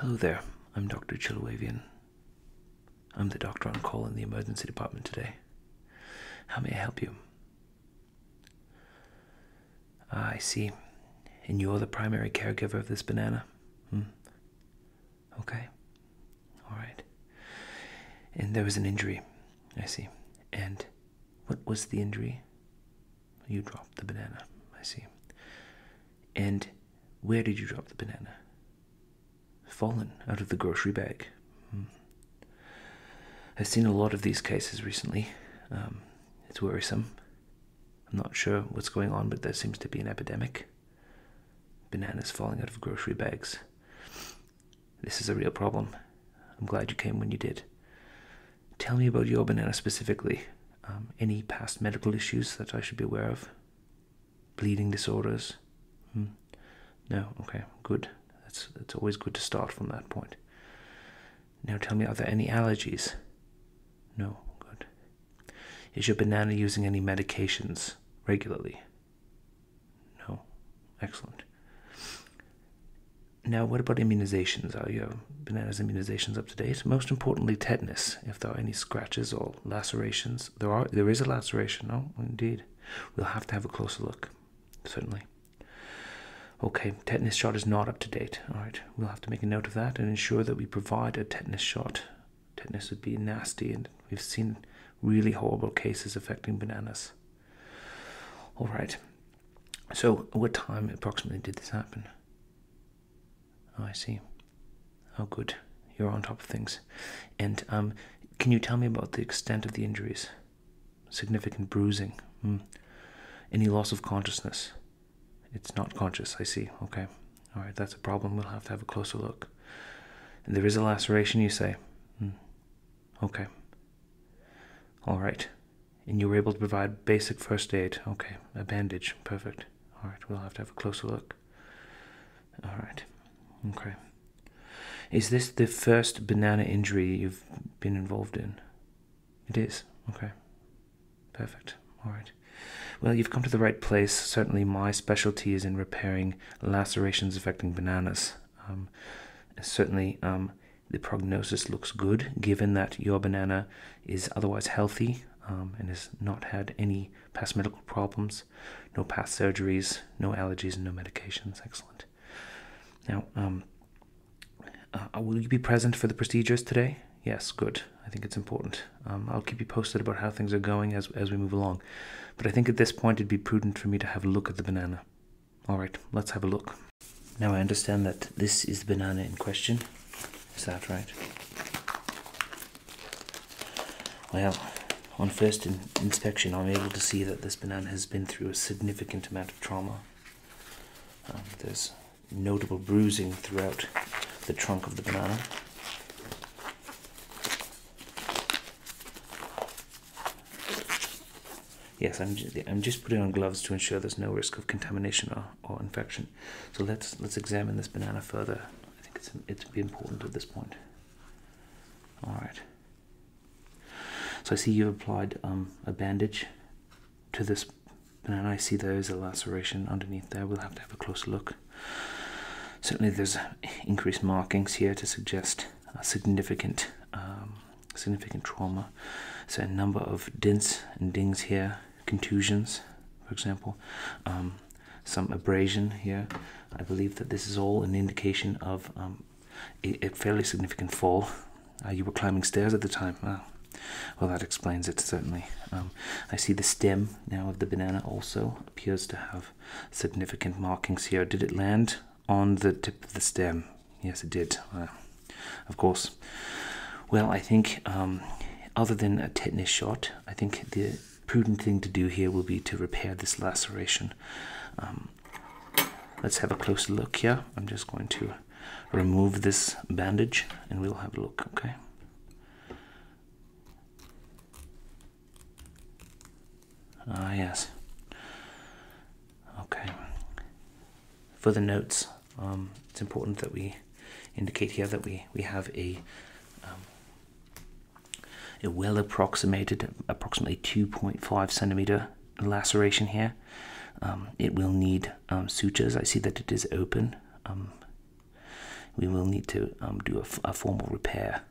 Hello there, I'm Dr. Chilwavian. I'm the doctor on call in the emergency department today. How may I help you? Ah, I see. And you're the primary caregiver of this banana? Hmm. Okay. All right. And there was an injury. I see. And what was the injury? You dropped the banana. I see. And where did you drop the banana? Fallen out of the grocery bag. Hmm. I've seen a lot of these cases recently. Um, it's worrisome. I'm not sure what's going on, but there seems to be an epidemic. Bananas falling out of grocery bags. This is a real problem. I'm glad you came when you did. Tell me about your banana specifically. Um, any past medical issues that I should be aware of? Bleeding disorders? Hmm. No. Okay. Good. That's it's always good to start from that point. Now tell me, are there any allergies? No. Good. Is your banana using any medications regularly? No. Excellent. Now, what about immunizations? Are you Bananas immunizations up to date. Most importantly, tetanus. If there are any scratches or lacerations, there are there is a laceration. Oh, indeed, we'll have to have a closer look. Certainly. Okay, tetanus shot is not up to date. All right, we'll have to make a note of that and ensure that we provide a tetanus shot. Tetanus would be nasty, and we've seen really horrible cases affecting bananas. All right. So, what time approximately did this happen? Oh, I see. Oh, good. You're on top of things. And um, can you tell me about the extent of the injuries? Significant bruising. Hmm. Any loss of consciousness? It's not conscious, I see. Okay. All right, that's a problem. We'll have to have a closer look. there is a laceration, you say? Hmm. Okay. All right. And you were able to provide basic first aid. Okay, a bandage. Perfect. All right, we'll have to have a closer look. All right, okay. Is this the first banana injury you've been involved in? It is. Okay. Perfect. All right. Well, you've come to the right place. Certainly, my specialty is in repairing lacerations affecting bananas. Um, certainly, um, the prognosis looks good given that your banana is otherwise healthy um, and has not had any past medical problems, no past surgeries, no allergies, and no medications. Excellent. Now, um, uh, will you be present for the procedures today? Yes, good. I think it's important. Um, I'll keep you posted about how things are going as, as we move along. But I think at this point it'd be prudent for me to have a look at the banana. Alright, let's have a look. Now I understand that this is the banana in question. Is that right? Well, on first inspection, I'm able to see that this banana has been through a significant amount of trauma. Um, there's notable bruising throughout the trunk of the banana. Yes, I'm, I'm just putting on gloves to ensure there's no risk of contamination or or infection. So let's let's examine this banana further. I think it's it's be important at this point. All right. So I see you applied um, a bandage to this banana. I see there is a laceration underneath there. We'll have to have a closer look. Certainly, there's increased markings here to suggest significant um, significant trauma. So a number of dents and dings here contusions, for example, um, some abrasion here. I believe that this is all an indication of um, a, fairly significant fall. Uh, you were climbing stairs at the time. Ah. Well, that explains it certainly. Um, I see the stem now of the banana also appears to have significant markings here. Did it land on the tip of the stem? Yes, it did. Ah. Of course. Well, I think um, other than a tetanus shot, I think the prudent thing to do here will be to repair this laceration. Um, let's have a closer look here. I'm just going to remove this bandage and we'll have a look, okay? Ah, yes. Okay. For the notes, um, it's important that we indicate here that we, we have a, um, a well approximated, approximately 2.5 centimeter laceration here. Um, it will need sutures. I see that it is open. we will need to do a, formal repair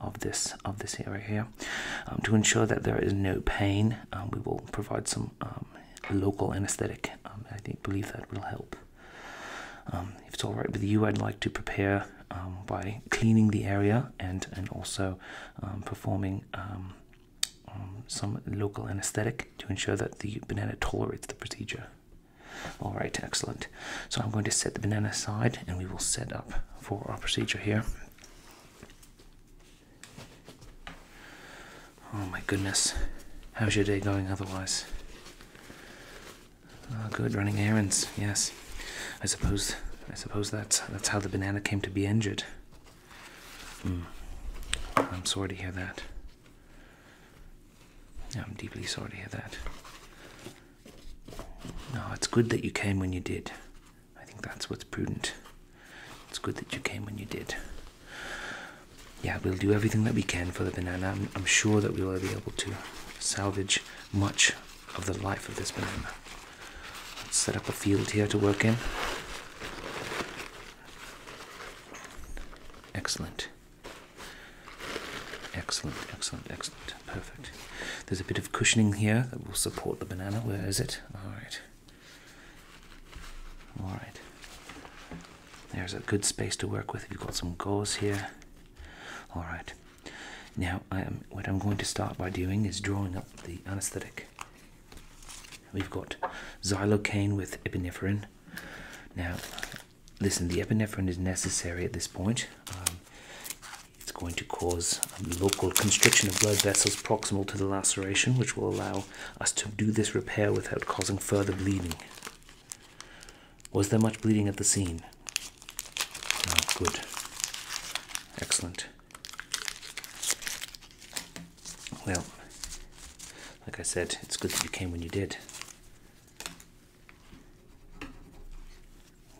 of this of this area here to ensure that there is no pain we will provide some um, local anesthetic. Um, I believe that will help. Um, if it's all right with you, I'd like to prepare by cleaning the area and and also performing some local anesthetic to ensure that the banana tolerates the procedure. All right, excellent. So I'm going to set the banana aside, and we will set up for our procedure here. Oh my goodness. How's your day going otherwise? Ah, good, running errands, yes. I suppose I suppose that's that's how the banana came to be injured. Hmm. I'm sorry to hear that. I'm deeply sorry to hear that. No, it's good that you came when you did. I think that's what's prudent. It's good that you came when you did yeah, we'll do everything that we can for the banana. I'm, sure that we will be able to salvage much of the life of this banana. Let's set up a field here to work in. Excellent. Excellent, excellent, excellent. Perfect. There's a bit of cushioning here that will support the banana. Where is it? All right. All right. There's a good space to work with. You've got some gauze here. All right. Now, what I'm going to start by doing is drawing up the anesthetic. We've got xylocaine with epinephrine. Now, listen, the epinephrine is necessary at this point. Um, it's going to cause um, local constriction of blood vessels proximal to the laceration, which will allow as to do this repair without causing further bleeding. Was there much bleeding at the scene? good. Excellent. Well, like I said, it's good that you came when you did.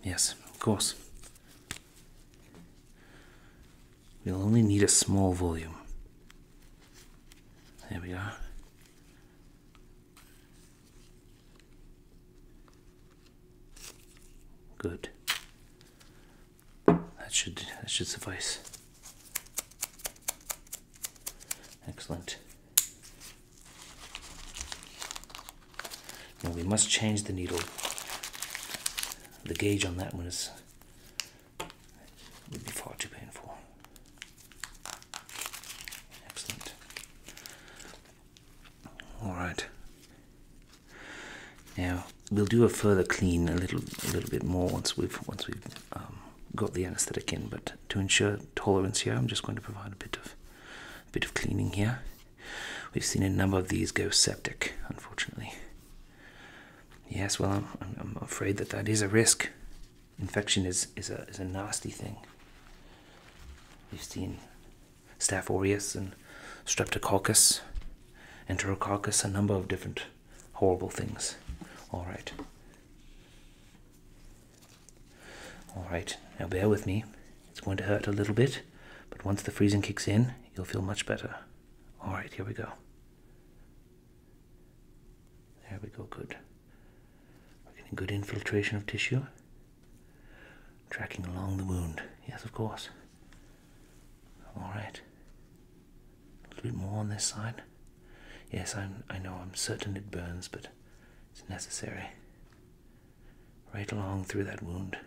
Yes, of course. We'll only need a small volume. There we are. Good. That should that should suffice. Excellent. Now we must change the needle. The gauge on that one is would be far too painful. Excellent. Alright. Now we'll do a further clean a little a little bit more once we've once we've um, got the anesthetic in, but to ensure tolerance here I'm just going to provide a bit of a bit of cleaning here. We've seen a number of these go septic, unfortunately. Yes, well, I'm, afraid that that is a risk. Infection is, is, a, is a nasty thing. We've seen Staph aureus and Streptococcus, Enterococcus, a number of different horrible things. All right. All right, now bear with me. It's going to hurt a little bit, but once the freezing kicks in, you'll feel much better. All right, here we go. There we go, good. We're getting good infiltration of tissue. Tracking along the wound. Yes, of course. Alright. A little bit more on this side. Yes, I'm, I know, I'm certain it burns, but it's necessary. Right along through that wound.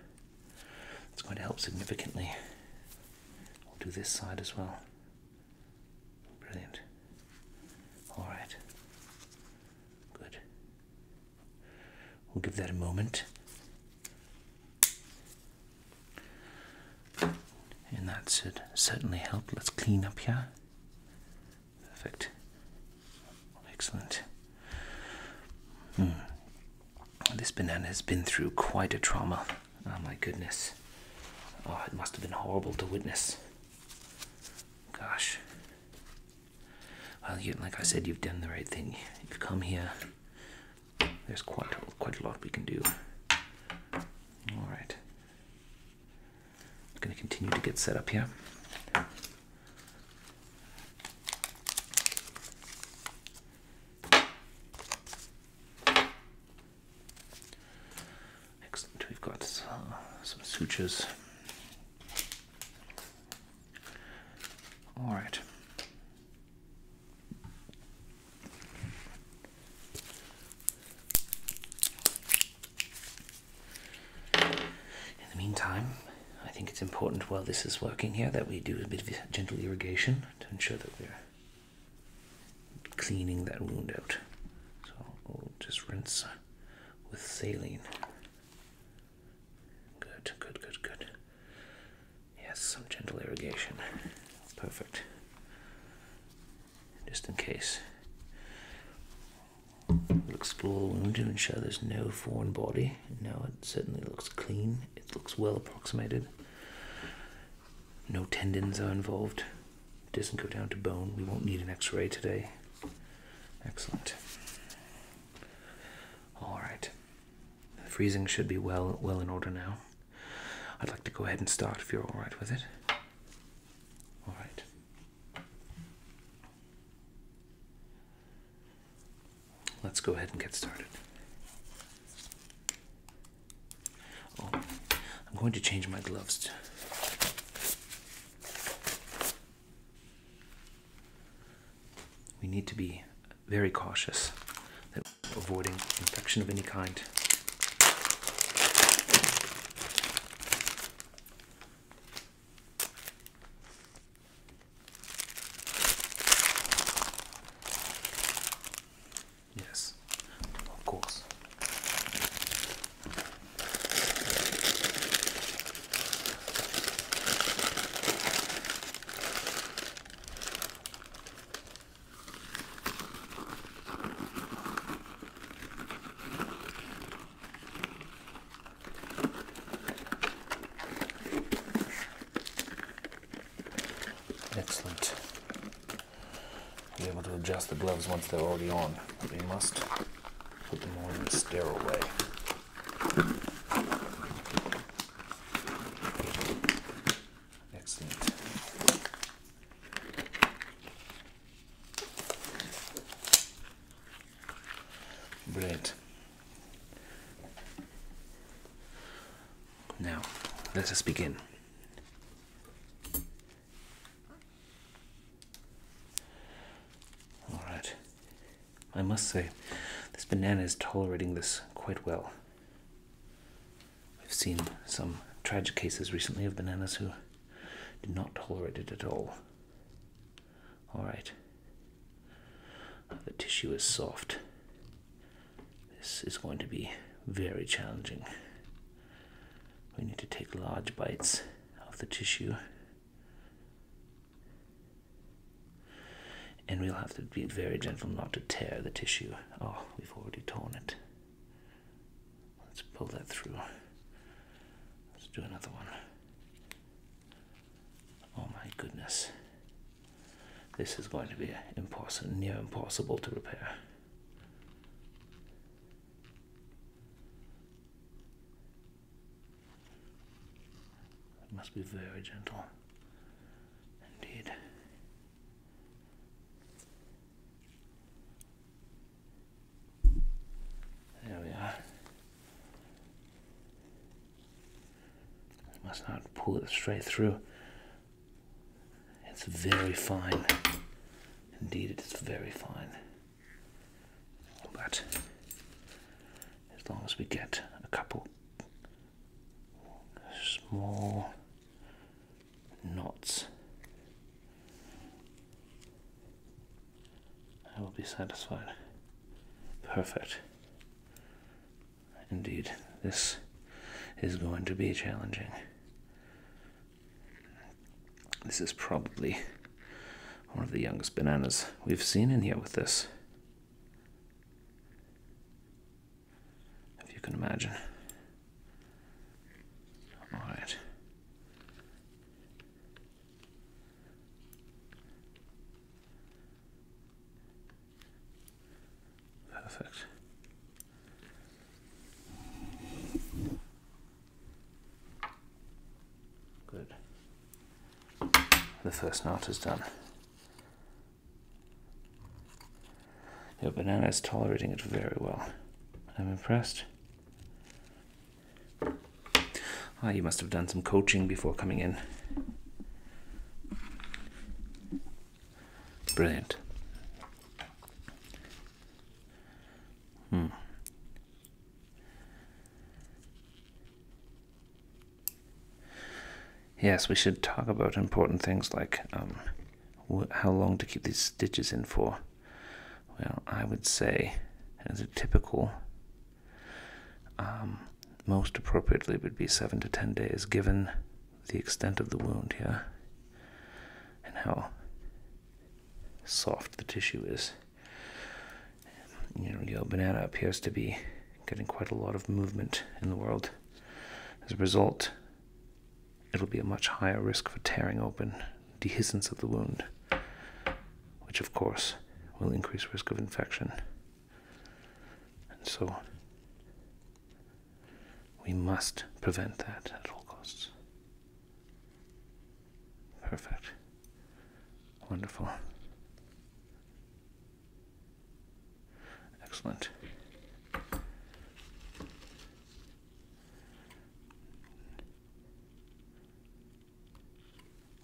It's going to help significantly. I'll do this side as well. Brilliant. All right. Good. We'll give that a moment. And that should certainly help. Let's clean up here. Perfect. Excellent. Hmm. This banana has been through quite a trauma. Oh my goodness. Oh, it must have been horrible to witness. Gosh. Well, you, like I said, you've done the right thing. You've come here. There's quite a, quite a lot we can do. All right. I'm going to continue to get set up here. Excellent. We've got some, some sutures. All right. In the meantime, I think it's important while this is working here that we do a bit of gentle irrigation to ensure that we're cleaning that wound out. So we'll just rinse with saline. Good, good, good, good. Yes, some gentle irrigation. Perfect. Just in case. We'll explore the wound and ensure there's no foreign body. Now it certainly looks clean. It looks well approximated. No tendons are involved. It doesn't go down to bone. We won't need an x ray today. Excellent. All right. freezing should be well, well in order now. I'd like to go ahead and start if you're all right with it. All right. Let's go ahead and get started. Oh, I'm going to change my gloves. We need to be very cautious that avoiding infection of any kind. Yes, of course. Excellent. Be able to adjust the gloves once they're already on, we must put them on in a sterile way. Excellent. Brilliant. Now, let us begin. Alright. I must say, this banana is tolerating this quite well. I've seen some tragic cases recently of bananas who did not tolerate it at all. Alright. The tissue is soft. This is going to be very challenging. We need to take large bites of the tissue. And we'll have to be very gentle not to tear the tissue. Oh, we've already torn it. Let's pull that through. Let's do another one. Oh my goodness. This is going to be impossible, near impossible to repair. It must be very gentle indeed. There we are. must not pull it straight through. It's very fine. Indeed, it is very fine. But as long as we get a couple small knots, I will be satisfied. Perfect. Indeed, this is going to be challenging. This is probably one of the youngest bananas we've seen in here with this. If you can imagine. Alright. Perfect. Good. The first knot is done. Your banana is tolerating it very well. I'm impressed. Ah, you must have done some coaching before coming in. Brilliant. Hmm. Yes, we should talk about important things like um, how long to keep these stitches in for. Well, I would say, as a typical, um, most appropriately would be 7 to 10 days, given the extent of the wound here and how soft the tissue is. You know, your banana appears to be getting quite a lot of movement in the world. As a result, it'll be a much higher risk for tearing open dehiscence of the wound, which of course will increase risk of infection and so on. We must prevent that at all costs. Perfect. Wonderful. Excellent.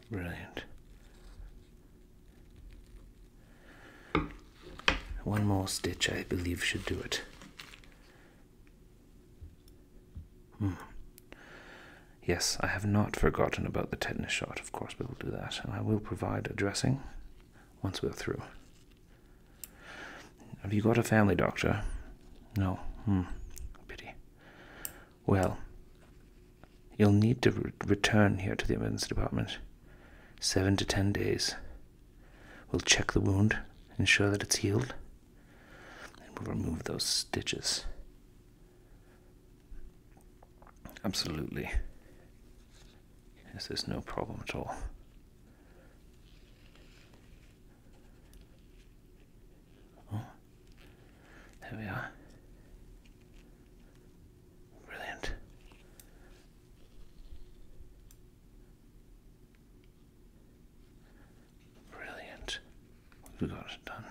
Brilliant. One more stitch, I believe, should do it. Hmm. Yes, I have not forgotten about the tetanus shot. Of course, we will do that. And I will provide a dressing once we're through. Have you got a family doctor? No. Hmm. Pity. Well, You'll need to return here to the emergency department. Seven to ten days. We'll check the wound, ensure that it's healed, and we'll remove those stitches. Absolutely. Yes, there's no problem at all. Oh, there we are. Brilliant. Brilliant. We got it done.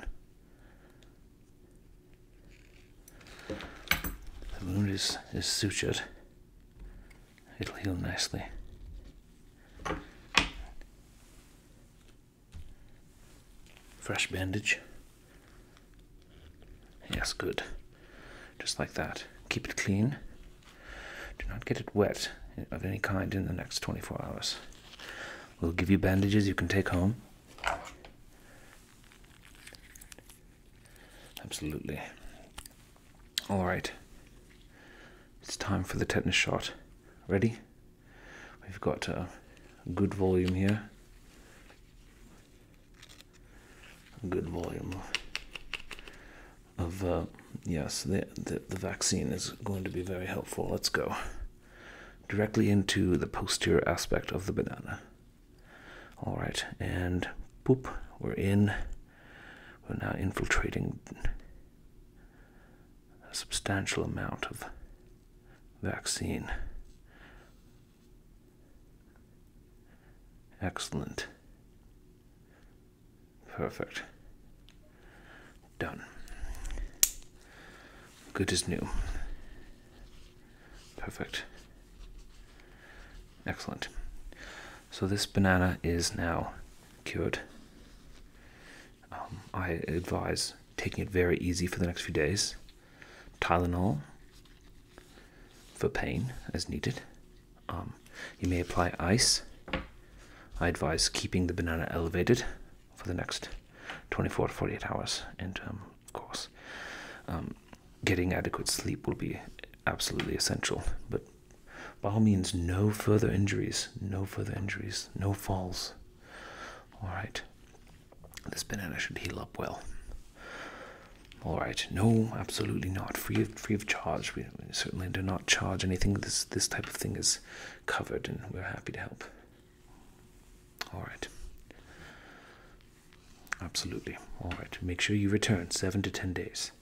The wound is, is sutured. It'll heal nicely. Fresh bandage. Yes, good. Just like that. Keep it clean. Do not get it wet of any kind in the next 24 hours. We'll give you bandages you can take home. Absolutely. All right. It's time for the tetanus shot. Ready? We've got a good volume here good volume of uh, yes the, the, the vaccine is going to be very helpful let's go directly into the posterior aspect of the banana all right and poop we're in we're now infiltrating a substantial amount of vaccine Excellent. Perfect. Done. Good as new. Perfect. Excellent. So this banana is now cured. Um, I advise taking it very easy for the next few days. Tylenol, for pain as needed. Um, you may apply ice. I advise keeping the banana elevated for the next 24 to 48 hours, and um, of course, getting adequate sleep will be absolutely essential. But by all means, no further injuries, no further injuries, no falls. All right. This banana should heal up well. All right. No, absolutely not. Free of free of charge. We certainly do not charge anything. This this type of thing is covered, and we're happy to help. All right. Absolutely. All right. Make sure you return seven to ten days.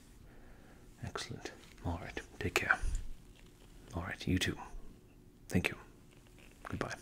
Excellent. All right. Take care. All right. You too. Thank you. Goodbye.